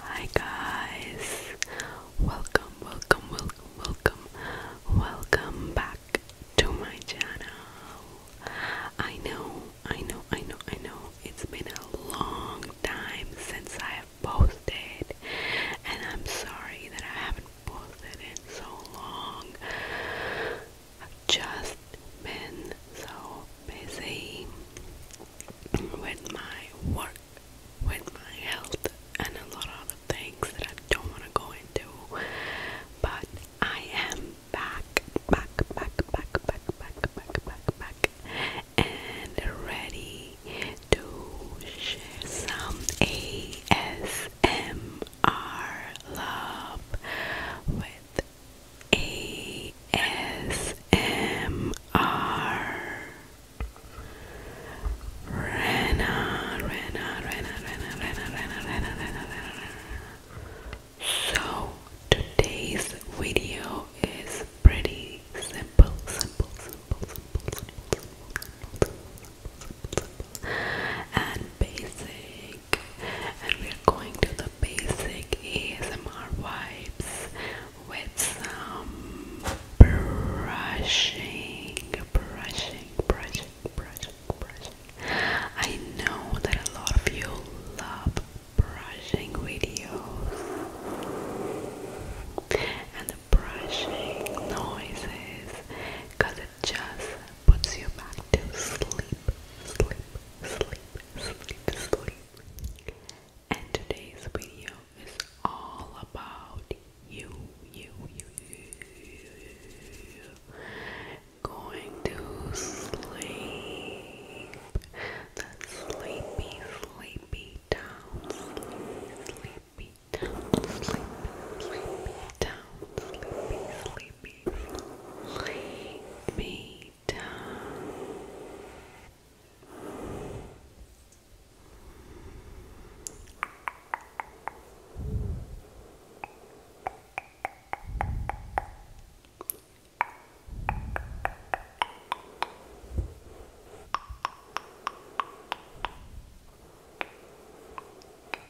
Hi guys, welcome, welcome, welcome, welcome, welcome back to my channel. I know, I know, I know, I know, it's been a long time since I have posted, and I'm sorry that I haven't posted in so long. I've just been so busy with my work, with my health, and a lot of other things that I don't want to go into. But I am back, back, back, back, back, back, back, back, back, and ready to share some ASMR love with ASMR. Rena, Rena, Rena, Rena, Rena, Rena, Rena, Rena, Rena. So today's video is pretty simple, simple, simple, simple, simple, simple, simple, simple, simple, simple and basic and we're going to the basic ASMR vibes with some brushing, brushing, brushing, brushing, brushing. I know that a lot of you love brushing videos and the brushing noises because it just puts you back to sleep, sleep, sleep, sleep, sleep. And today's video is all about you, you, you, you going to sleep. That sleepy, sleepy down, sleepy, sleepy down, sleepy, sleepy down, sleepy, sleepy baby. Lay me down.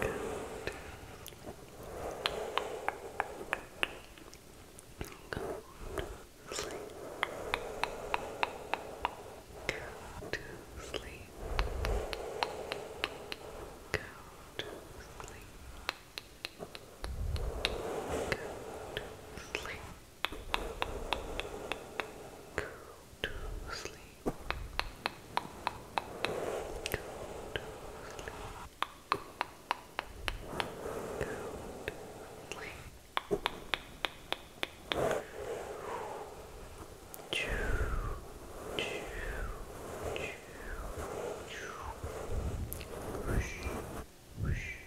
Good. Go to sleep. Go to sleep. Go to sleep. Go to sleep. Go to sleep. Go to sleep. Go to sleep. Choo, choo, choo, choo. Whoosh, whoosh.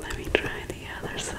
Let me try the other side.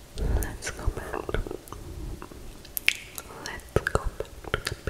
Let's go back. Let's go back to the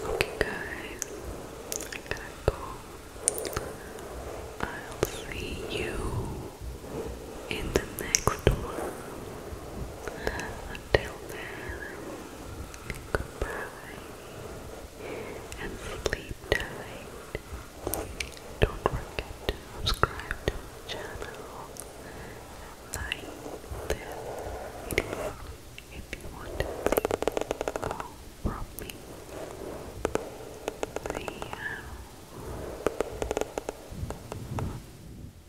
Okay, guys, I gotta go. I'll see you in the next one. Until then, goodbye and sleep tight. Don't forget to subscribe to the channel and like this video if you want to see more from me. See